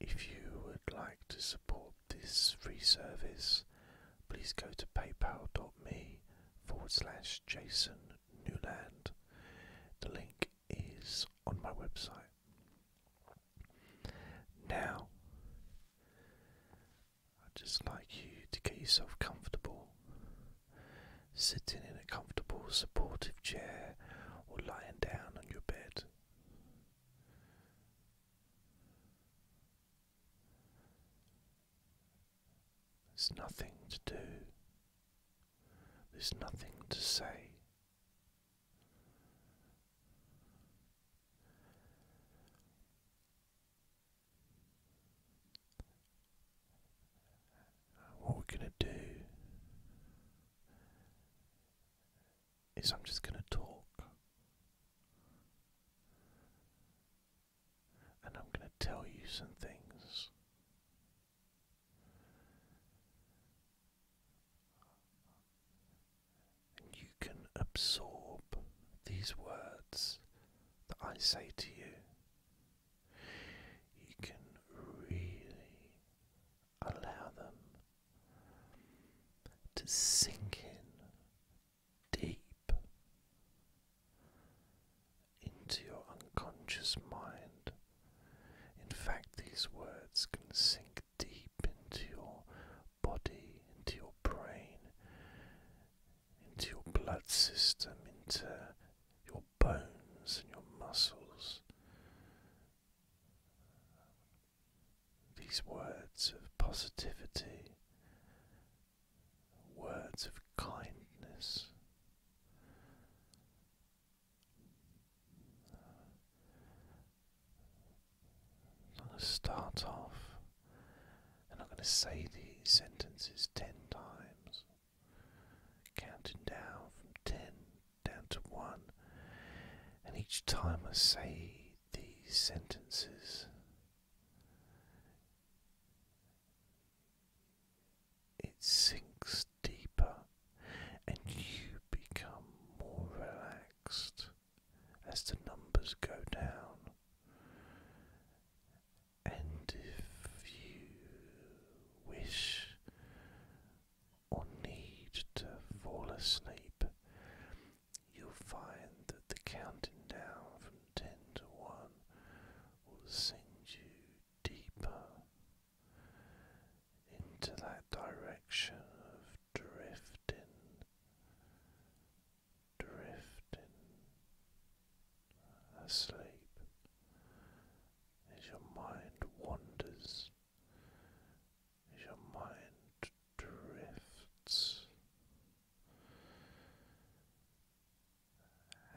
If you would like to support this free service, please go to paypal.me forward slash Jason Newland. The link is on my website. Now, I'd just like you to get yourself comfortable sitting in a comfortable, supportive chair, or lying down on your bed. There's nothing to do, there's nothing to say what we're going to do is I'm just going to talk and I'm going to tell you some things. And you can absorb these words that I say to you. You can really allow them to sink in deep into your unconscious mind. In fact, these words can sink deep into your body, into your brain, into your blood system, into your bones and your muscles, these words of positivity, words of kindness. I'm going to start off, and I'm going to say these sentences ten times, counting down from ten down to one. And each time I say these sentences, it sinks deeper and you become more relaxed as the numbers go down. And if you wish, or need to fall asleep, you'll find that the counting down from 10 to 1 will send you deeper into that direction of drifting, drifting asleep as your mind wanders as your mind drifts.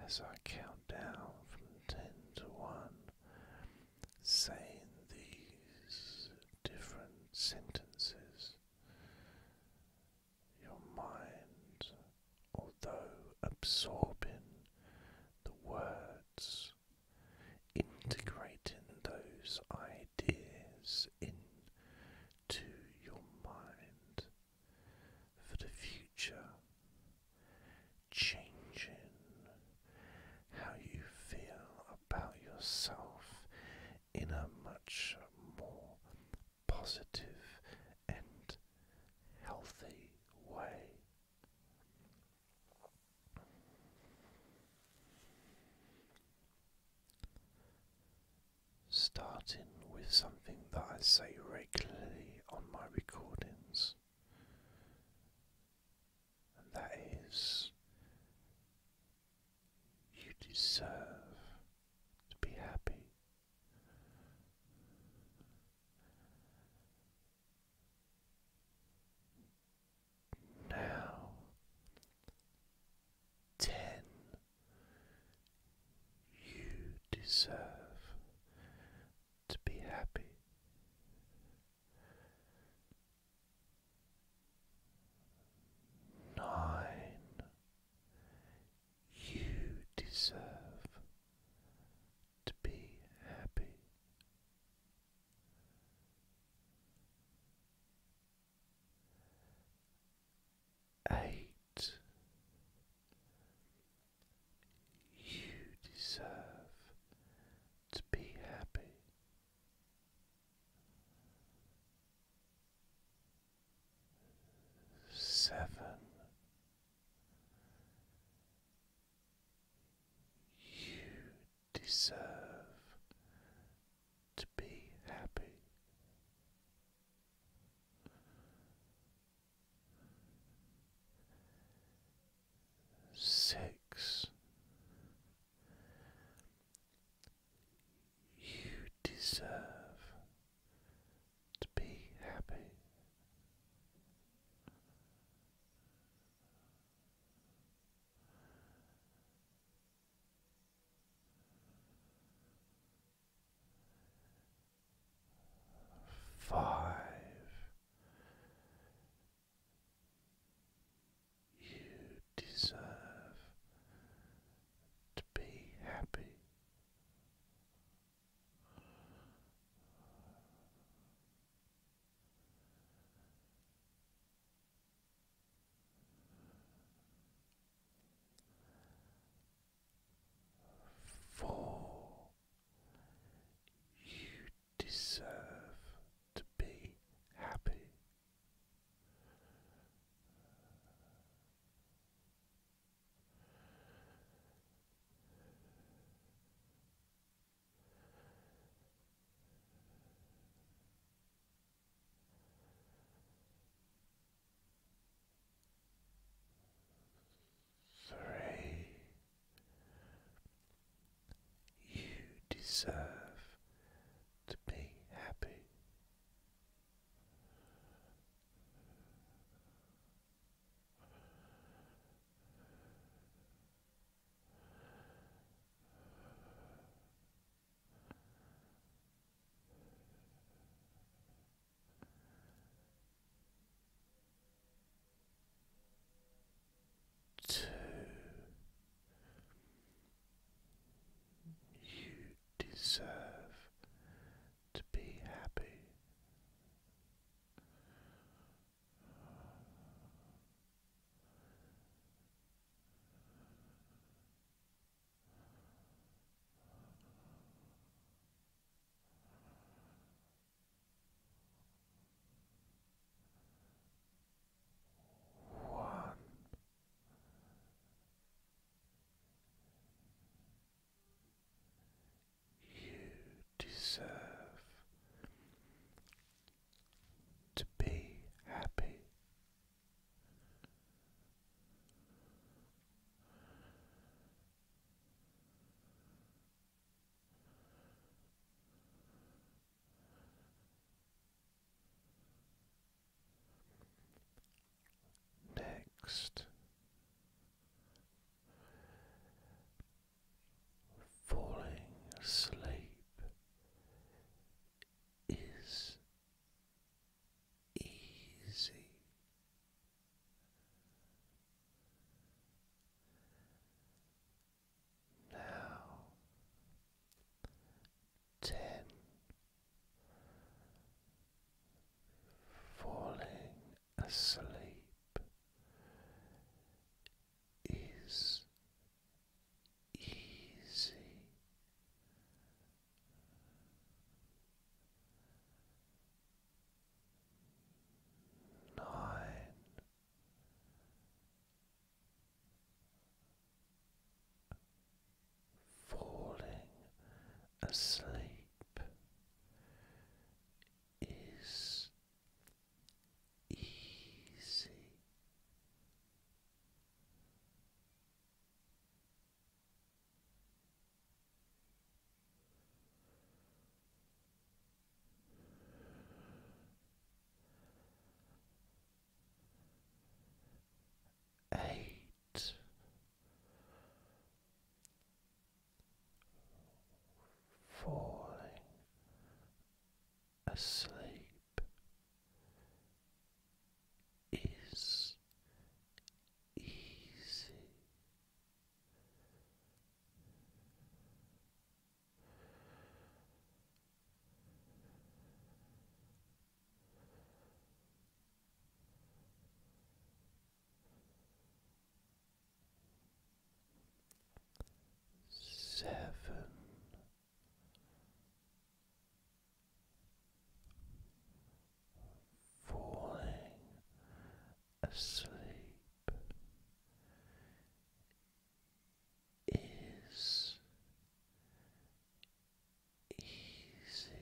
As I count down from ten to one, saying these different sentences, your mind, although absorbing the words integrating those ideas into your mind for the future, changing how you feel about yourself in a much more positive and healthy way. Starting with something that I say regularly on my recordings, and that is you deserve to be happy. Now, ten, you deserve to be happy. Nine, you deserve to be happy. Eight. You deserve to be happy. Seven. You deserve to be happy. Six, you deserve to be happy. Five. You deserve to be happy. For you deserve to be happy. Three, you deserve to be happy. Two, you deserve to be happy. One. You deserve to be happy. Next, falling asleep is easy. Now ten falling asleep is easy. Nine. Falling asleep is easy. Eight falling asleep is easy. Seven falling asleep is easy.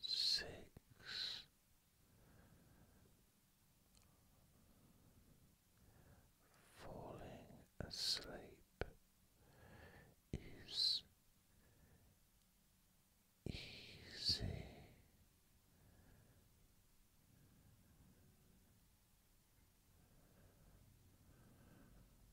six. Falling asleep is easy.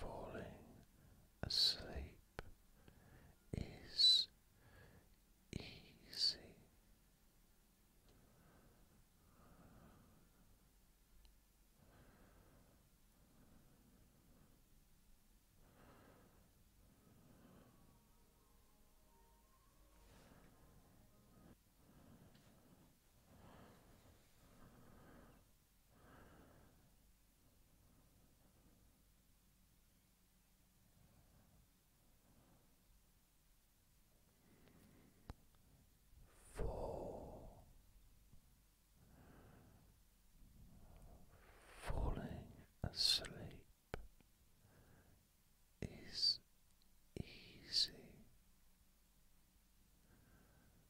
falling asleep is easy. Four falling asleep is easy.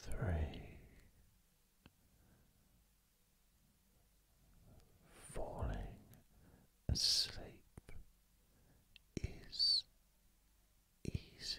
three, falling asleep is easy.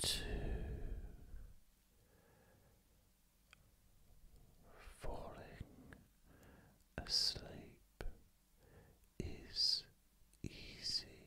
Two, falling asleep is easy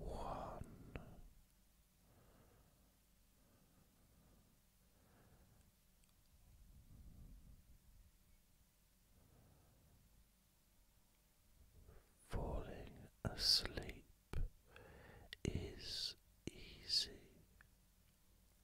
One. Falling asleep is easy.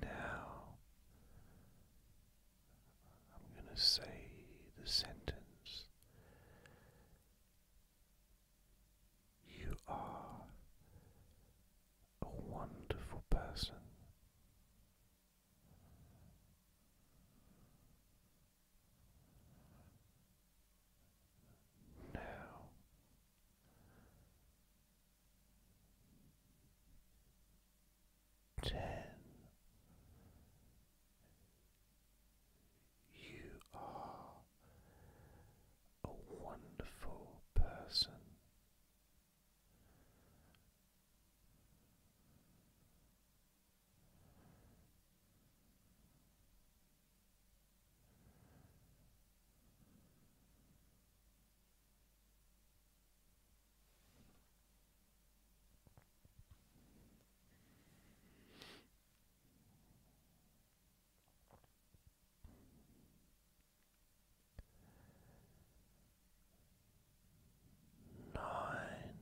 Now I'm going to say the sentence you are a wonderful person. Now ten you are a wonderful person. Nine.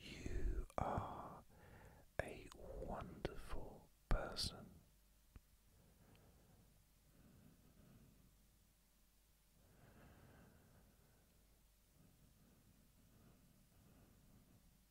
You are a wonderful person.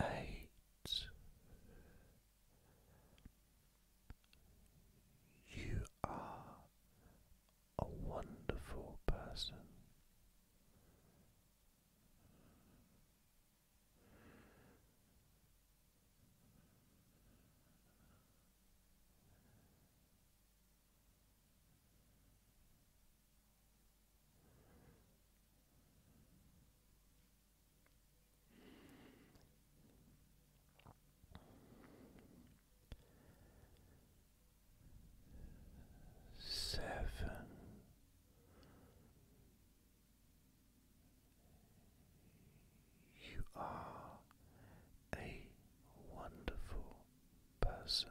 Eight. You are a wonderful person. Seven. You are a wonderful person.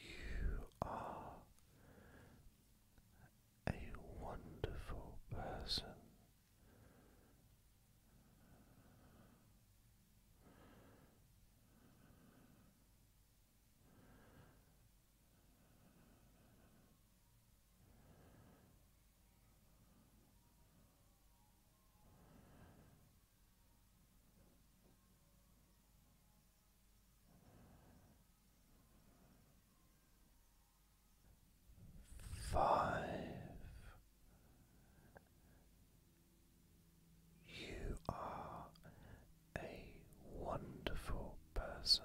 you are a wonderful person. Five. You are a wonderful person.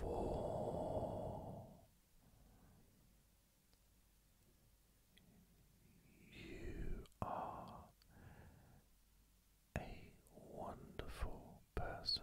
for you are a wonderful person.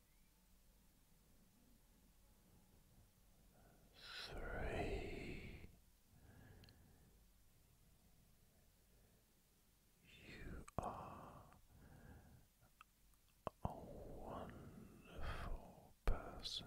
Three, you are a wonderful person.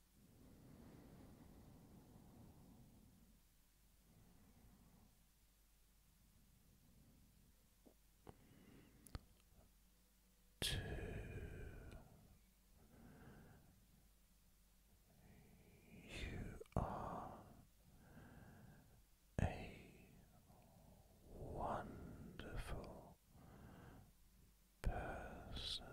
to you are a wonderful person.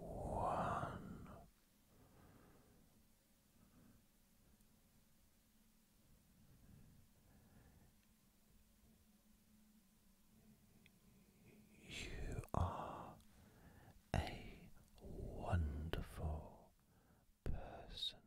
one. You are a wonderful person.